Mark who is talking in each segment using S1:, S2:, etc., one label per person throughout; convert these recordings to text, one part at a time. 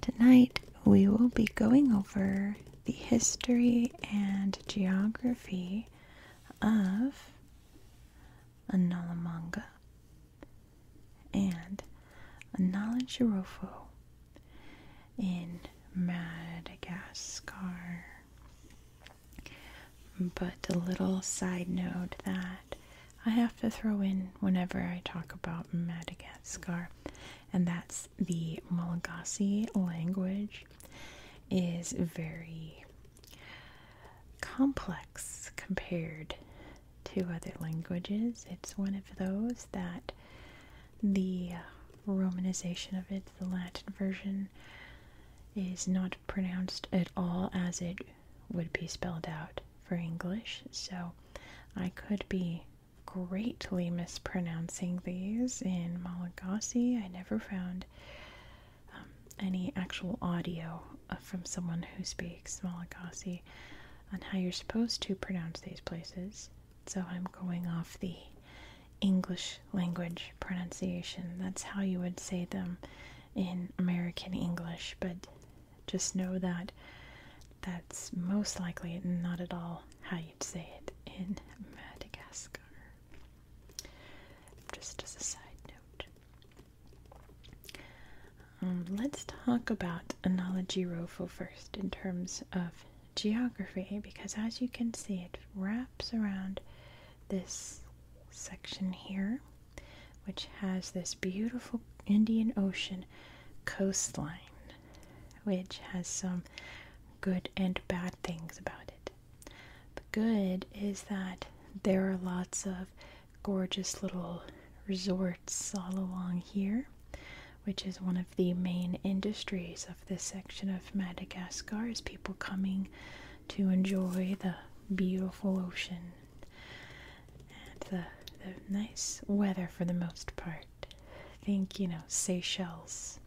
S1: Tonight we will be going over the history and geography of Analamanga and Analajirofo in Madagascar. But a little side note that I have to throw in whenever I talk about Madagascar and that's the Malagasy language is very complex compared to other languages. It's one of those that the uh, romanization of it, the Latin version, is not pronounced at all as it would be spelled out for English. So I could be greatly mispronouncing these in Malagasy. I never found um, any actual audio uh, from someone who speaks Malagasy on how you're supposed to pronounce these places. So I'm going off the English language pronunciation. That's how you would say them in American English, but just know that that's most likely not at all how you'd say it in Madagascar. Just as a side note. Um, let's talk about Analogirofo first in terms of geography because as you can see it wraps around this section here which has this beautiful Indian Ocean coastline which has some good and bad things about it. The good is that there are lots of gorgeous little resorts all along here, which is one of the main industries of this section of Madagascar is people coming to enjoy the beautiful ocean and the, nice weather for the most part. Think, you know, Seychelles,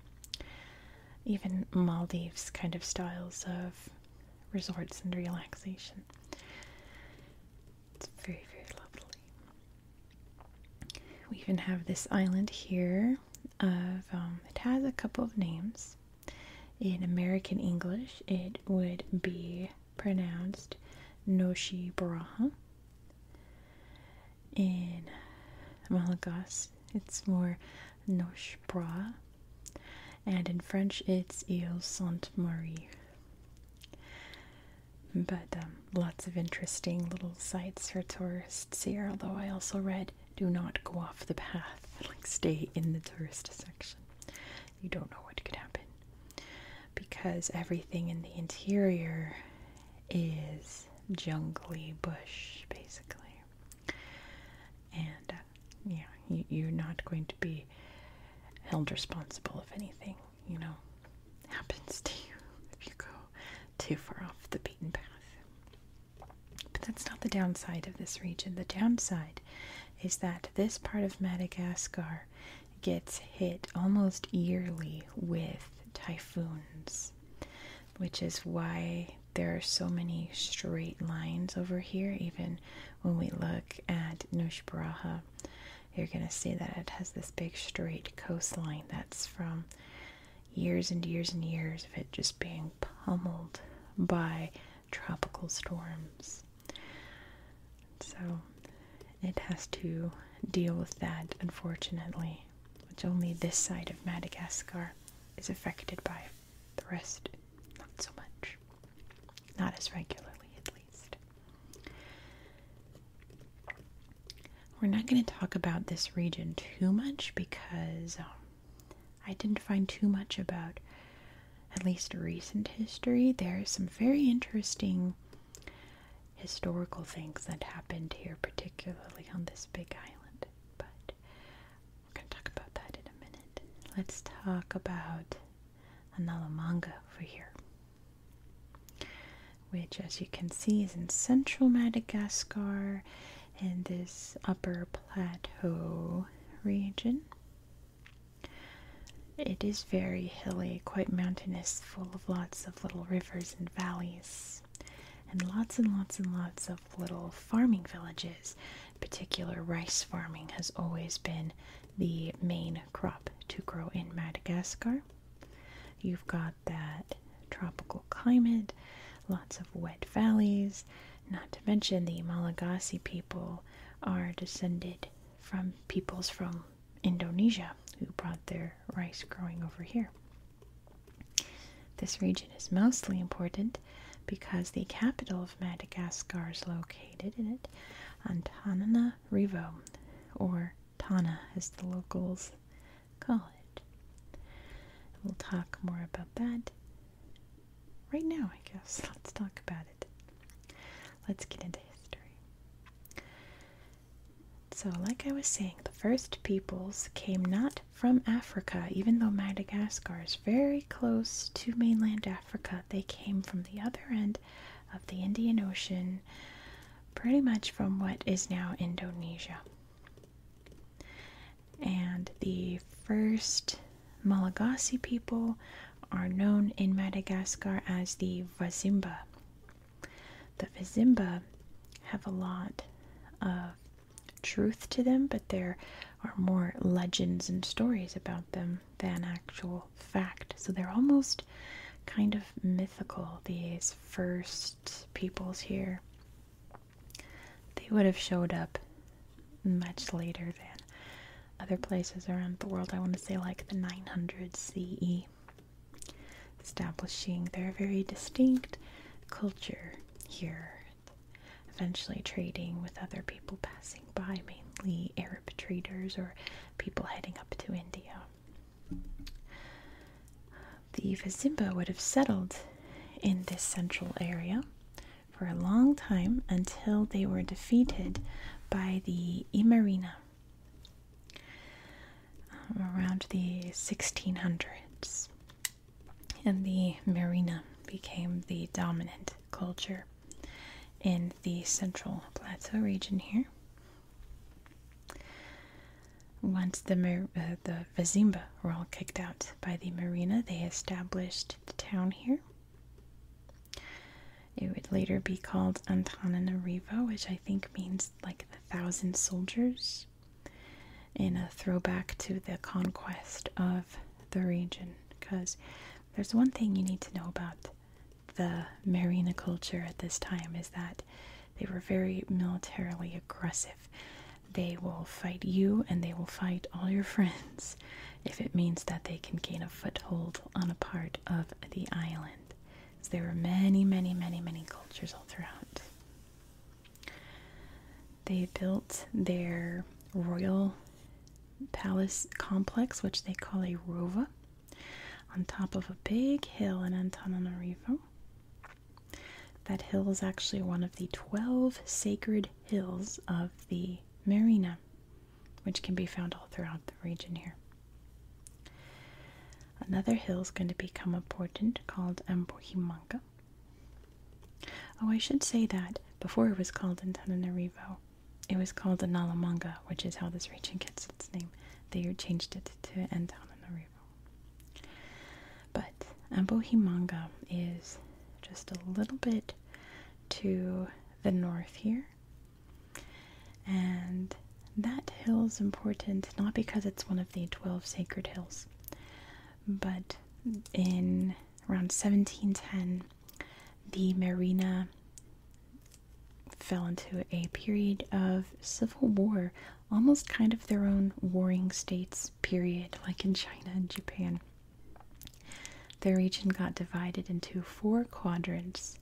S1: even Maldives kind of styles of resorts and relaxation. It's very, very lovely. We even have this island here of, um, it has a couple of names. In American English, it would be pronounced Noshi Baraha in Malaga, it's more noche bras and in French it's Ile Sainte Marie. But um, lots of interesting little sites for tourists here, although I also read do not go off the path, like stay in the tourist section. You don't know what could happen because everything in the interior is jungly bush basically. And uh, yeah, you, you're not going to be held responsible if anything, you know, happens to you if you go too far off the beaten path. But that's not the downside of this region. The downside is that this part of Madagascar gets hit almost yearly with typhoons, which is why there are so many straight lines over here. Even when we look at Nush you're going to see that it has this big straight coastline that's from years and years and years of it just being pummeled by tropical storms. So it has to deal with that, unfortunately, which only this side of Madagascar is affected by. The rest, not so much. Not as regularly, at least. We're not going to talk about this region too much because um, I didn't find too much about at least recent history. There's some very interesting historical things that happened here, particularly on this big island. But we're going to talk about that in a minute. Let's talk about Analamanga over here, which, as you can see, is in central Madagascar in this upper plateau region. It is very hilly, quite mountainous, full of lots of little rivers and valleys, and lots and lots and lots of little farming villages. particular, rice farming has always been the main crop to grow in Madagascar. You've got that tropical climate, lots of wet valleys, not to mention the Malagasy people are descended from peoples from Indonesia who brought their rice growing over here. This region is mostly important because the capital of Madagascar is located in it, Antananarivo, or Tana as the locals call it. We'll talk more about that right now, I guess. Let's talk about it. Let's get into history. So, like I was saying, the first peoples came not from Africa, even though Madagascar is very close to mainland Africa. They came from the other end of the Indian Ocean, pretty much from what is now Indonesia. And the first Malagasy people are known in Madagascar as the Vazimba. The Vizimba have a lot of truth to them, but there are more legends and stories about them than actual fact. So they're almost kind of mythical, these first peoples here. They would have showed up much later than other places around the world. I want to say like the 900 CE establishing their very distinct culture here. Eventually, trading with other people passing by, mainly Arab traders or people heading up to India. The Vizimba would have settled in this central area for a long time until they were defeated by the Imarina um, around the 1600s, and the marina became the dominant culture in the central plateau region here. Once the uh, the Vizimba were all kicked out by the marina, they established the town here. It would later be called Antananarivo, which I think means like the thousand soldiers, in a throwback to the conquest of the region. Because there's one thing you need to know about the Marina culture at this time is that they were very militarily aggressive. They will fight you and they will fight all your friends if it means that they can gain a foothold on a part of the island there were many, many, many, many cultures all throughout. They built their royal palace complex, which they call a rova, on top of a big hill in Antananarivo. That hill is actually one of the 12 sacred hills of the Marina, which can be found all throughout the region here. Another hill is going to become a important called Ampuhimanca. Oh, I should say that before it was called Antananarivo, it was called Analamanga, which is how this region gets its name. They changed it to Antananarivo. But Ampuhimanca is just a little bit to the north here and that hill is important not because it's one of the 12 sacred hills, but in around 1710, the marina fell into a period of civil war, almost kind of their own warring states period, like in China and Japan. The region got divided into four quadrants,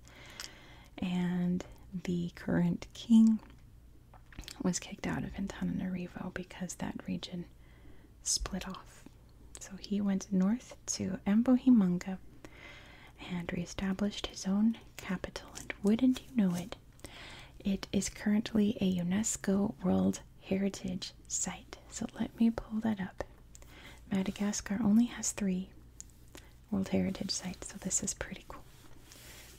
S1: and the current king was kicked out of Antananarivo because that region split off. So he went north to Ambohimanga and reestablished his own capital. And wouldn't you know it, it is currently a UNESCO World Heritage Site. So let me pull that up. Madagascar only has three World Heritage Site, so this is pretty cool.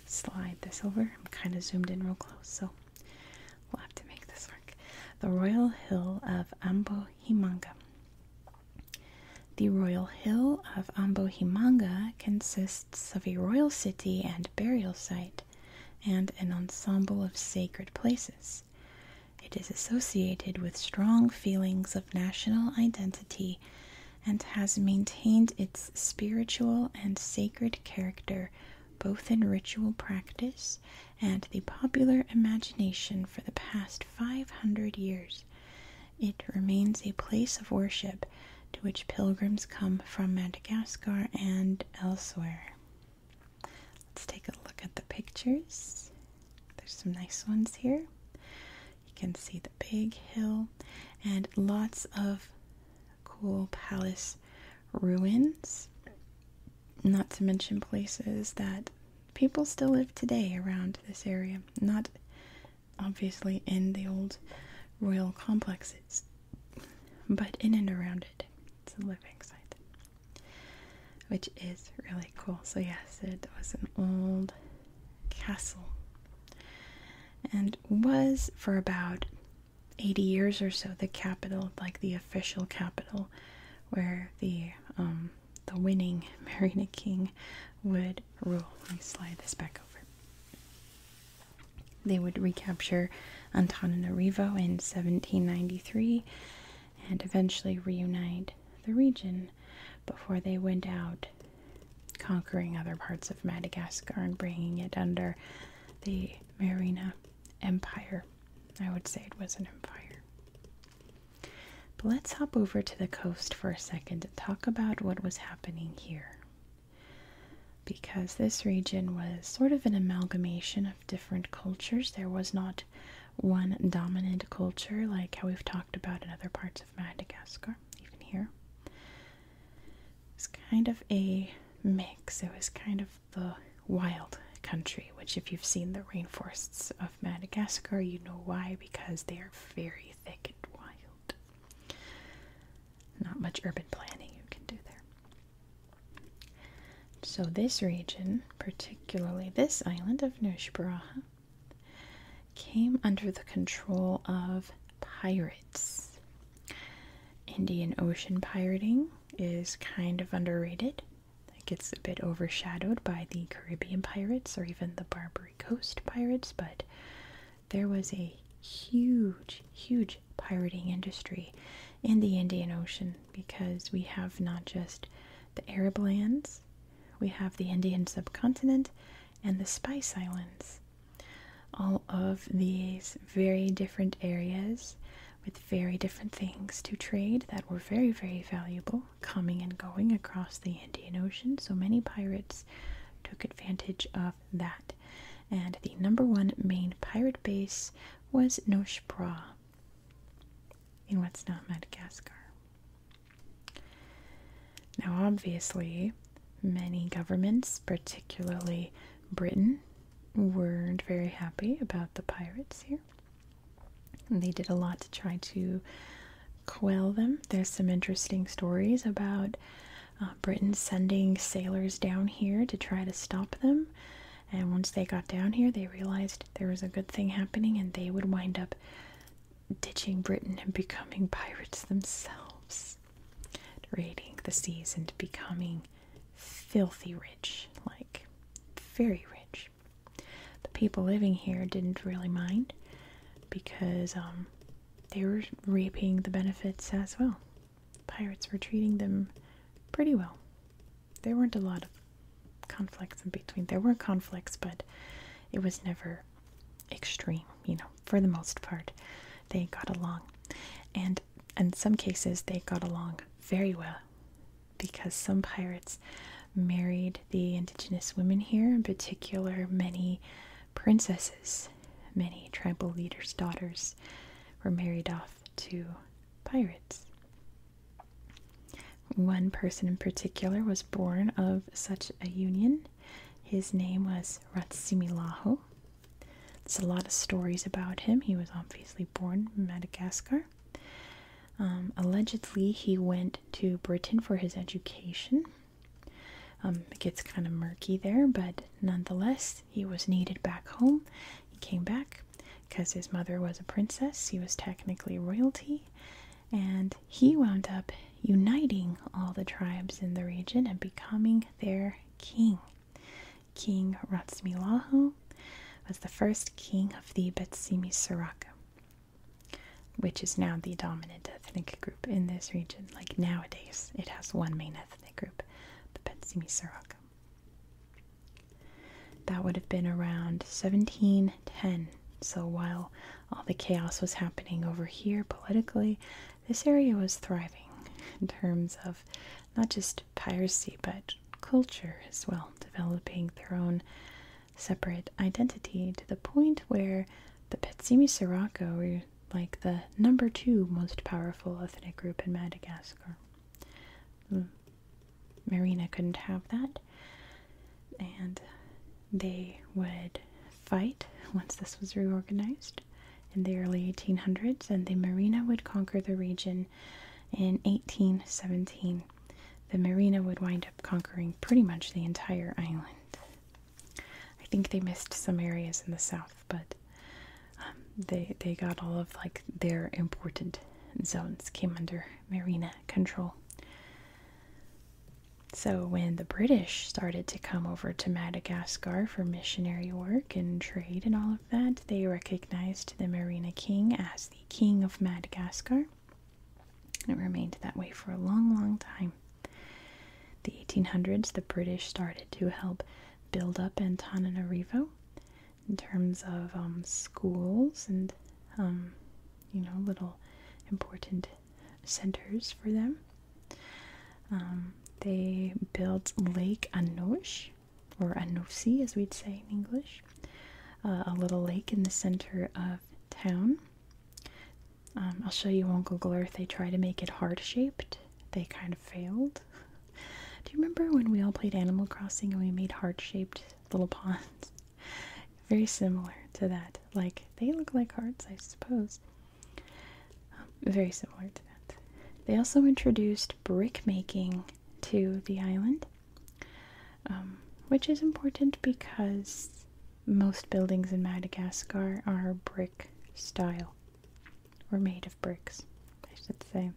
S1: Slide this over. I'm kind of zoomed in real close, so we'll have to make this work. The Royal Hill of Ambohimanga. The Royal Hill of Ambohimanga consists of a royal city and burial site and an ensemble of sacred places. It is associated with strong feelings of national identity and has maintained its spiritual and sacred character both in ritual practice and the popular imagination for the past 500 years. It remains a place of worship to which pilgrims come from Madagascar and elsewhere. Let's take a look at the pictures. There's some nice ones here. You can see the big hill and lots of cool palace ruins, not to mention places that people still live today around this area. Not obviously in the old royal complexes, but in and around it. It's a living site. Which is really cool. So, yes, it was an old castle and was for about 80 years or so the capital like the official capital where the um, the winning Marina King would rule. Let me slide this back over. They would recapture Antananarivo in 1793 and eventually reunite the region before they went out conquering other parts of Madagascar and bringing it under the Marina Empire. I would say it was an empire. But let's hop over to the coast for a second to talk about what was happening here. Because this region was sort of an amalgamation of different cultures, there was not one dominant culture like how we've talked about in other parts of Madagascar, even here. It's kind of a mix. It was kind of the wild country, which, if you've seen the rainforests of Madagascar, you know why, because they are very thick and wild. Not much urban planning you can do there. So, this region, particularly this island of Nushbaraha, came under the control of pirates. Indian Ocean pirating is kind of underrated. It gets a bit overshadowed by the Caribbean pirates or even the Barbary Coast pirates, but there was a huge, huge pirating industry in the Indian Ocean because we have not just the Arab lands, we have the Indian subcontinent, and the Spice Islands. All of these very different areas with very different things to trade that were very, very valuable coming and going across the Indian Ocean. So many pirates took advantage of that. And the number one main pirate base was Noche Bra in what's now Madagascar. Now, obviously, many governments, particularly Britain, weren't very happy about the pirates here. they did a lot to try to quell them. There's some interesting stories about uh, Britain sending sailors down here to try to stop them. And once they got down here, they realized there was a good thing happening and they would wind up ditching Britain and becoming pirates themselves, raiding the seas and becoming filthy rich, like very rich. The people living here didn't really mind because um, they were reaping the benefits as well. Pirates were treating them pretty well. There weren't a lot of conflicts in between. There were conflicts, but it was never extreme, you know, for the most part, they got along. And in some cases, they got along very well because some pirates married the indigenous women here, in particular, many princesses, many tribal leaders' daughters were married off to pirates. One person in particular was born of such a union. His name was Ratsimilahu. There's a lot of stories about him. He was obviously born in Madagascar. Um, allegedly, he went to Britain for his education. Um, it gets kind of murky there, but nonetheless, he was needed back home. He came back because his mother was a princess. He was technically royalty, and he wound up uniting all the tribes in the region and becoming their king. King Ratsmilahu was the first king of the Betsimisaraka, which is now the dominant ethnic group in this region. Like nowadays, it has one main ethnic group, the Betsimisaraka. That would have been around 1710. So while all the chaos was happening over here politically, this area was thriving in terms of not just piracy but culture as well, developing their own separate identity to the point where the Petsimi Sirocco were like the number two most powerful ethnic group in Madagascar. Hmm. Marina couldn't have that. And they would fight once this was reorganized in the early 1800s, and the Marina would conquer the region in 1817. The Marina would wind up conquering pretty much the entire island. I think they missed some areas in the south, but um, they they got all of like their important zones came under Marina control. So, when the British started to come over to Madagascar for missionary work and trade and all of that, they recognized the Marina King as the King of Madagascar. and It remained that way for a long, long time. The 1800s, the British started to help build up Antananarivo in terms of um, schools and, um, you know, little important centers for them. Um, they built Lake Anoche, or Anosi as we'd say in English, uh, a little lake in the center of town. Um, I'll show you on Google Earth, they try to make it heart shaped. They kind of failed. Do you remember when we all played Animal Crossing and we made heart shaped little ponds? Very similar to that. Like, they look like hearts, I suppose. Um, very similar to that. They also introduced brick making to the island, um, which is important because most buildings in Madagascar are brick style or made of bricks, I should say.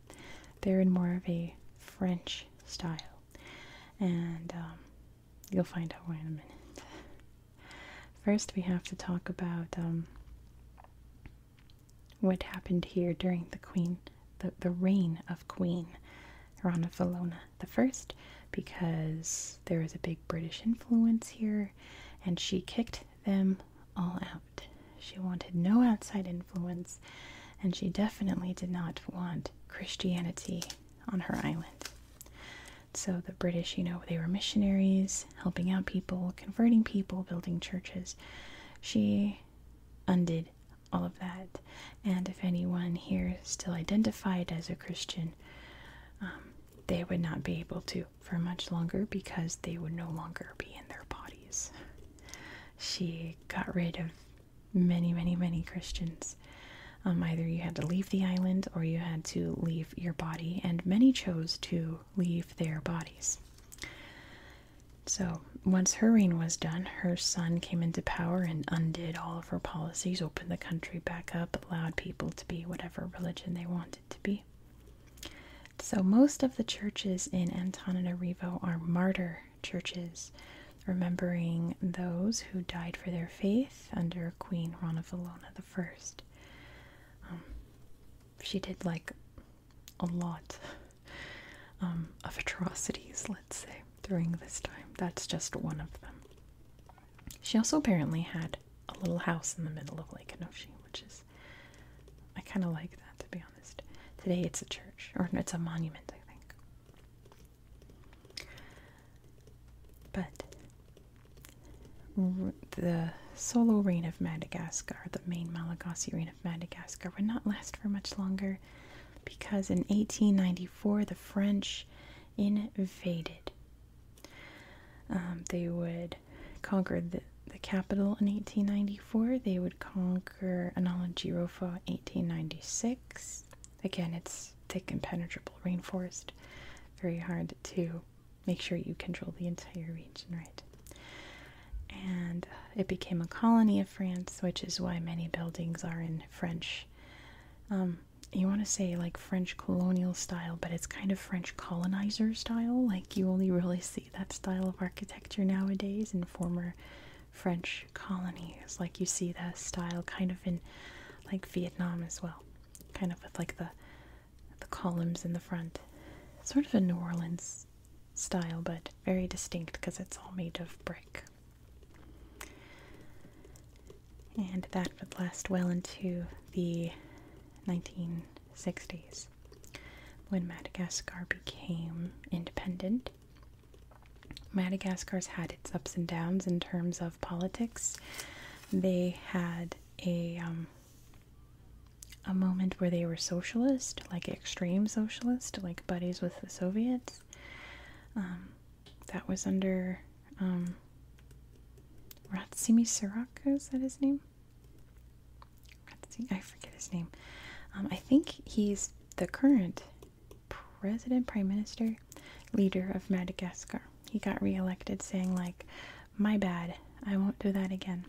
S1: They're in more of a French style. And um, You'll find out why in a minute. First, we have to talk about um, what happened here during the Queen, the, the reign of Queen Rana Valona the First, because there was a big British influence here, and she kicked them all out. She wanted no outside influence, and she definitely did not want Christianity on her island. So the British, you know, they were missionaries, helping out people, converting people, building churches. She undid all of that. And if anyone here still identified as a Christian, um, they would not be able to for much longer because they would no longer be in their bodies. She got rid of many, many, many Christians. Um, either you had to leave the island or you had to leave your body, and many chose to leave their bodies. So, once her reign was done, her son came into power and undid all of her policies, opened the country back up, allowed people to be whatever religion they wanted to be. So, most of the churches in Antananarivo are martyr churches remembering those who died for their faith under Queen Ranavalona I. Um, she did like a lot um, of atrocities, let's say, during this time. That's just one of them. She also apparently had a little house in the middle of Lake Enoshi, which is, I kind of like that to be honest. Today it's a church, or it's a monument, I think. But the solo reign of Madagascar, the main Malagasy reign of Madagascar, would not last for much longer because in 1894 the French invaded. Um, they would conquer the, the capital in 1894, they would conquer Analagirofa in 1896, Again, it's thick impenetrable rainforest. Very hard to make sure you control the entire region, right? And it became a colony of France, which is why many buildings are in French. Um, you want to say like French colonial style, but it's kind of French colonizer style. Like you only really see that style of architecture nowadays in former French colonies. Like you see that style kind of in like Vietnam as well. Kind of with like the the columns in the front. Sort of a New Orleans style, but very distinct because it's all made of brick. And that would last well into the 1960s when Madagascar became independent Madagascar's had its ups and downs in terms of politics. They had a um, a moment where they were socialist, like extreme socialist, like buddies with the Soviets. Um, that was under um, Ratsimi Siraka, that his name? I forget his name. Um, I think he's the current president, prime minister, leader of Madagascar. He got reelected saying, like, my bad, I won't do that again.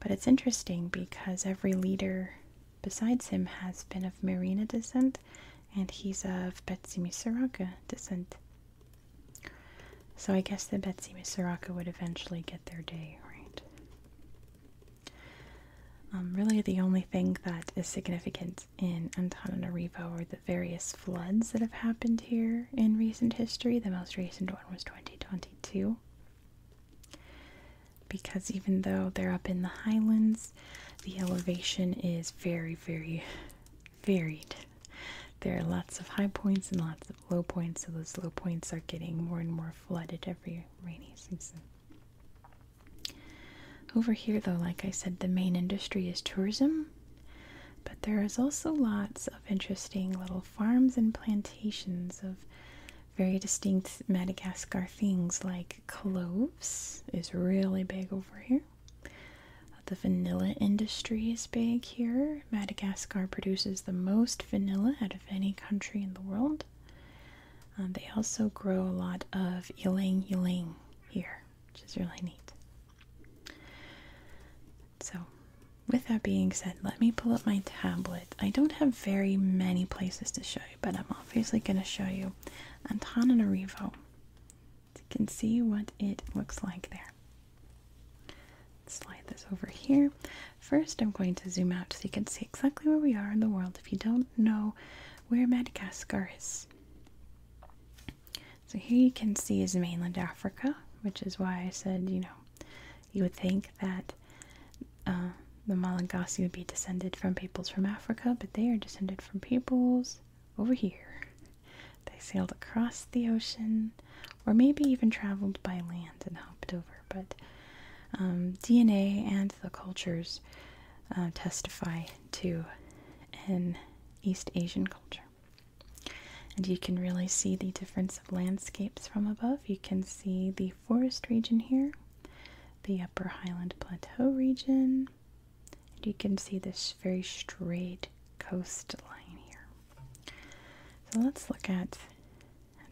S1: But it's interesting because every leader besides him has been of Marina descent, and he's of Betsy Musaraka descent. So I guess the Betsy Musaraka would eventually get their day, right? Um, really, the only thing that is significant in Antananarivo or the various floods that have happened here in recent history. The most recent one was 2022. Because even though they're up in the highlands, the elevation is very, very varied. There are lots of high points and lots of low points, so those low points are getting more and more flooded every rainy season. Over here, though, like I said, the main industry is tourism, but there is also lots of interesting little farms and plantations of very distinct Madagascar things like cloves is really big over here. The vanilla industry is big here. Madagascar produces the most vanilla out of any country in the world. Um, they also grow a lot of ylang ylang here which is really neat. So, with that being said, let me pull up my tablet. I don't have very many places to show you, but I'm obviously going to show you Antananarivo. You can see what it looks like there. Slide this over here. First, I'm going to zoom out so you can see exactly where we are in the world. If you don't know where Madagascar is, so here you can see is mainland Africa, which is why I said, you know, you would think that uh, the Malagasy would be descended from peoples from Africa, but they are descended from peoples over here. They sailed across the ocean, or maybe even traveled by land and hopped over. But um, DNA and the cultures uh, testify to an East Asian culture. And you can really see the difference of landscapes from above. You can see the forest region here, the upper highland plateau region, and you can see this very straight coastline here. So let's look at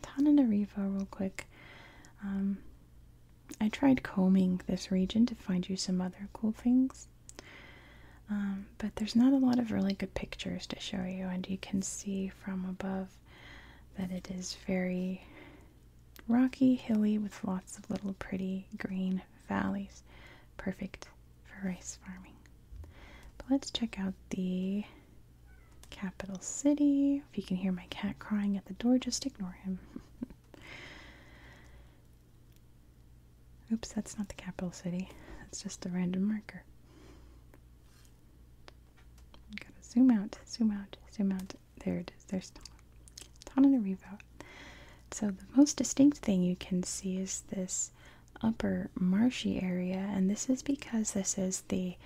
S1: Antananarivo real quick. Um, I tried combing this region to find you some other cool things, um, but there's not a lot of really good pictures to show you, and you can see from above that it is very rocky, hilly, with lots of little pretty green valleys, perfect for rice farming. But let's check out the capital city. If you can hear my cat crying at the door, just ignore him. Oops, that's not the capital city. That's just a random marker. Gotta zoom out, zoom out, zoom out. There it is. There's Tananarivo. So the most distinct thing you can see is this upper marshy area, and this is because this is the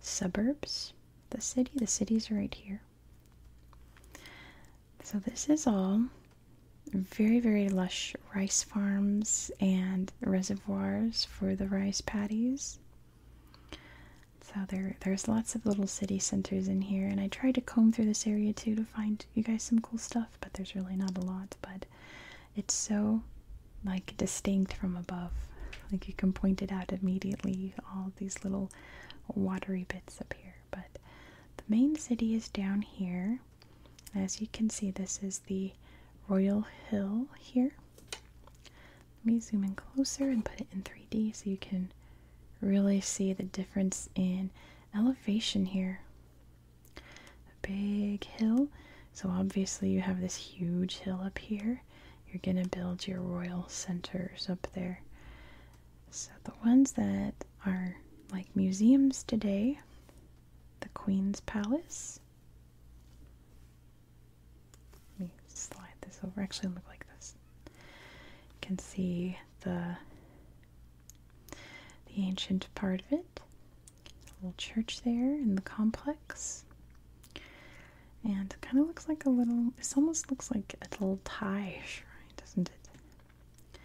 S1: suburbs, the city. The city's right here. So, this is all very, very lush rice farms and reservoirs for the rice paddies. So there, there's lots of little city centers in here, and I tried to comb through this area too to find you guys some cool stuff, but there's really not a lot. But it's so like distinct from above, like you can point it out immediately. All these little watery bits up here but the main city is down here. As you can see, this is the Royal Hill here. Let me zoom in closer and put it in 3D so you can really see the difference in elevation here. big hill. So obviously you have this huge hill up here. You're going to build your royal centers up there. So the ones that are like museums today, the Queen's Palace. Let me slide this over. Actually, look like this. You can see the the ancient part of it. A little church there in the complex. And kind of looks like a little, this almost looks like a little Thai shrine doesn't it?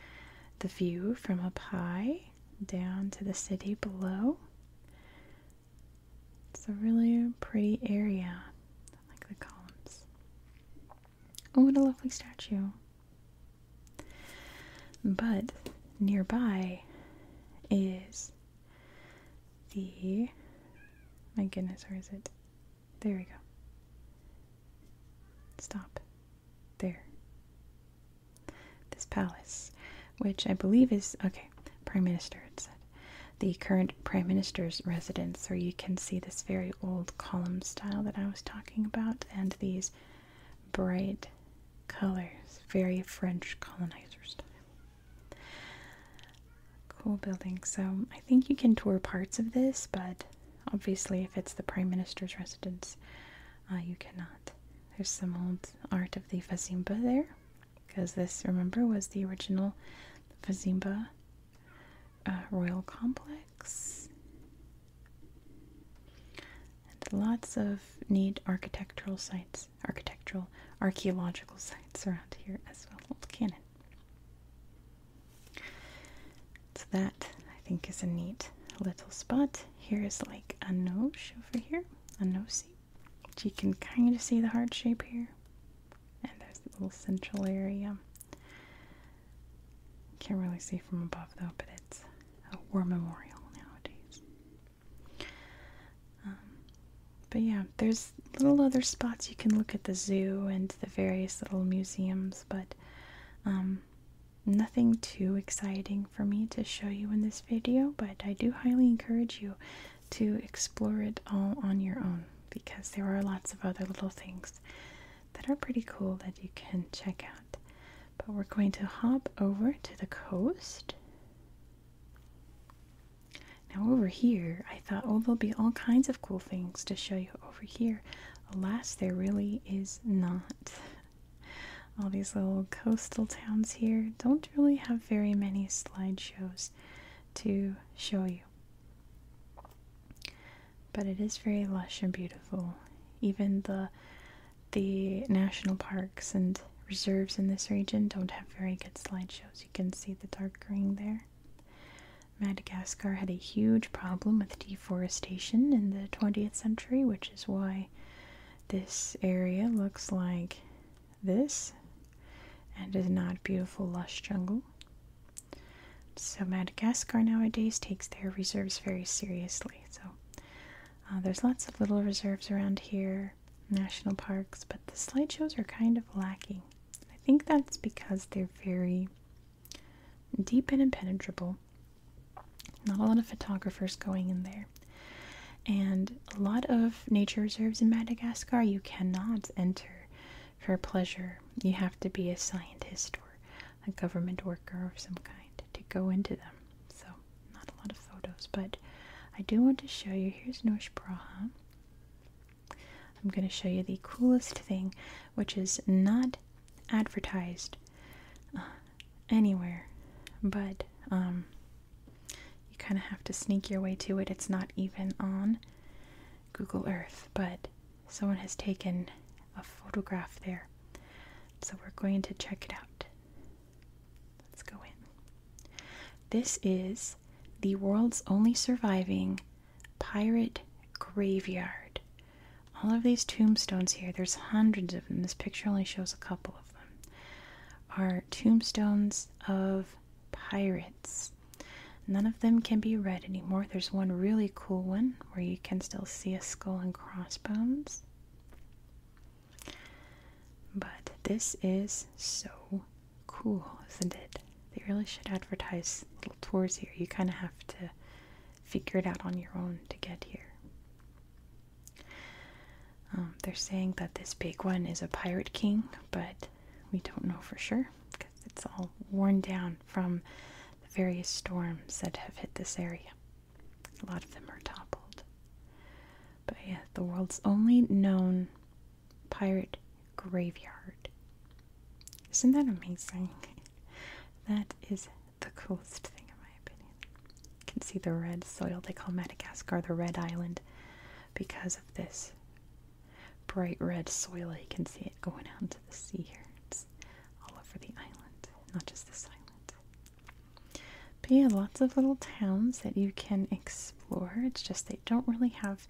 S1: The view from up high down to the city below. It's a really pretty area. I like the columns. Oh, what a lovely statue. But nearby is the. My goodness, where is it? There we go. Stop. There. This palace, which I believe is, okay, Prime Minister, it said. The current Prime Minister's residence, So you can see this very old column style that I was talking about, and these bright colors, very French colonizer style. Cool building. So I think you can tour parts of this, but obviously, if it's the Prime Minister's residence, uh, you cannot. There's some old art of the Fazimba there, because this, remember, was the original Fazimba uh, royal complex. And lots of neat architectural sites, architectural, archaeological sites around here as well. Old cannon. So that I think is a neat little spot. Here is like a nose over here, a nosy. You can kind of see the heart shape here. And there's the little central area. Can't really see from above though, but it's a war memorial nowadays. Um, but yeah, there's little other spots you can look at the zoo and the various little museums, but um, nothing too exciting for me to show you in this video. But I do highly encourage you to explore it all on your own because there are lots of other little things that are pretty cool that you can check out. But we're going to hop over to the coast. Now, over here, I thought, oh, there'll be all kinds of cool things to show you over here. Alas, there really is not. All these little coastal towns here don't really have very many slideshows to show you. But it is very lush and beautiful. Even the the national parks and reserves in this region don't have very good slideshows. You can see the dark green there. Madagascar had a huge problem with deforestation in the 20th century, which is why this area looks like this and is not beautiful, lush jungle. So, Madagascar nowadays takes their reserves very seriously. So, uh, there's lots of little reserves around here, national parks, but the slideshows are kind of lacking. I think that's because they're very deep and impenetrable. Not a lot of photographers going in there. And a lot of nature reserves in Madagascar you cannot enter for pleasure. You have to be a scientist or a government worker of some kind to go into them. So, not a lot of photos, but I do want to show you. Here's Noosh Praha. I'm going to show you the coolest thing, which is not advertised uh, anywhere, but um, you kind of have to sneak your way to it. It's not even on Google Earth, but someone has taken a photograph there. So we're going to check it out. Let's go in. This is the world's only surviving Pirate Graveyard. All of these tombstones here, there's hundreds of them. This picture only shows a couple of them. Are tombstones of pirates. None of them can be read anymore. There's one really cool one where you can still see a skull and crossbones. But this is so Cool, isn't it? They really should advertise little tours here. You kind of have to figure it out on your own to get here. Um, they're saying that this big one is a pirate king, but we don't know for sure because it's all worn down from the various storms that have hit this area. A lot of them are toppled. But yeah, the world's only known pirate graveyard. Isn't that amazing? That is the coolest thing, in my opinion. You can see the red soil. They call Madagascar the Red Island because of this bright red soil. You can see it going out into the sea here. It's all over the island, not just the island. But yeah, lots of little towns that you can explore. It's just they don't really have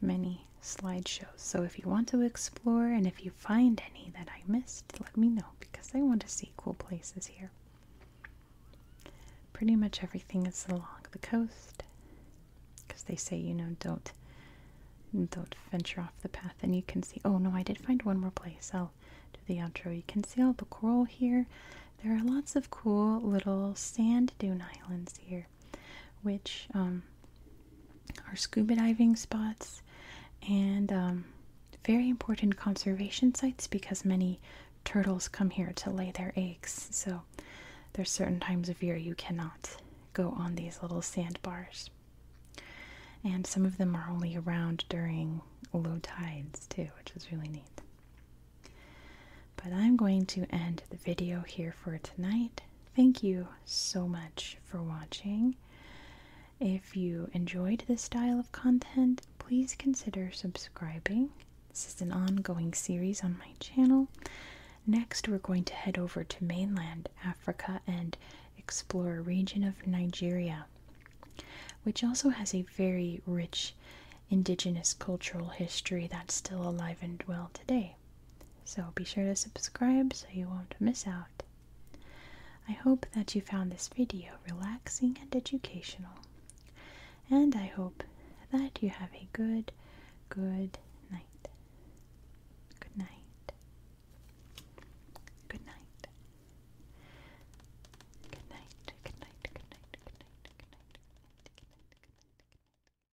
S1: many slideshows. So if you want to explore and if you find any that I missed, let me know because I want to see cool places here. Pretty much everything is along the coast because they say, you know, don't don't venture off the path and you can see oh no I did find one more place I'll do the outro you can see all the coral here there are lots of cool little sand dune islands here which um, are scuba diving spots and um, very important conservation sites because many turtles come here to lay their eggs. So there's certain times of year you cannot go on these little sandbars. And some of them are only around during low tides too, which is really neat. But I'm going to end the video here for tonight. Thank you so much for watching. If you enjoyed this style of content, please consider subscribing. This is an ongoing series on my channel. Next, we're going to head over to mainland Africa and explore a region of Nigeria, which also has a very rich indigenous cultural history that's still alive and well today day. So be sure to subscribe so you won't miss out. I hope that you found this video relaxing and educational. And I hope that you have a good, good night. Good night. Good night. Good night. Good night. Good night. Good night. Good night. Good night. Good night. Good night.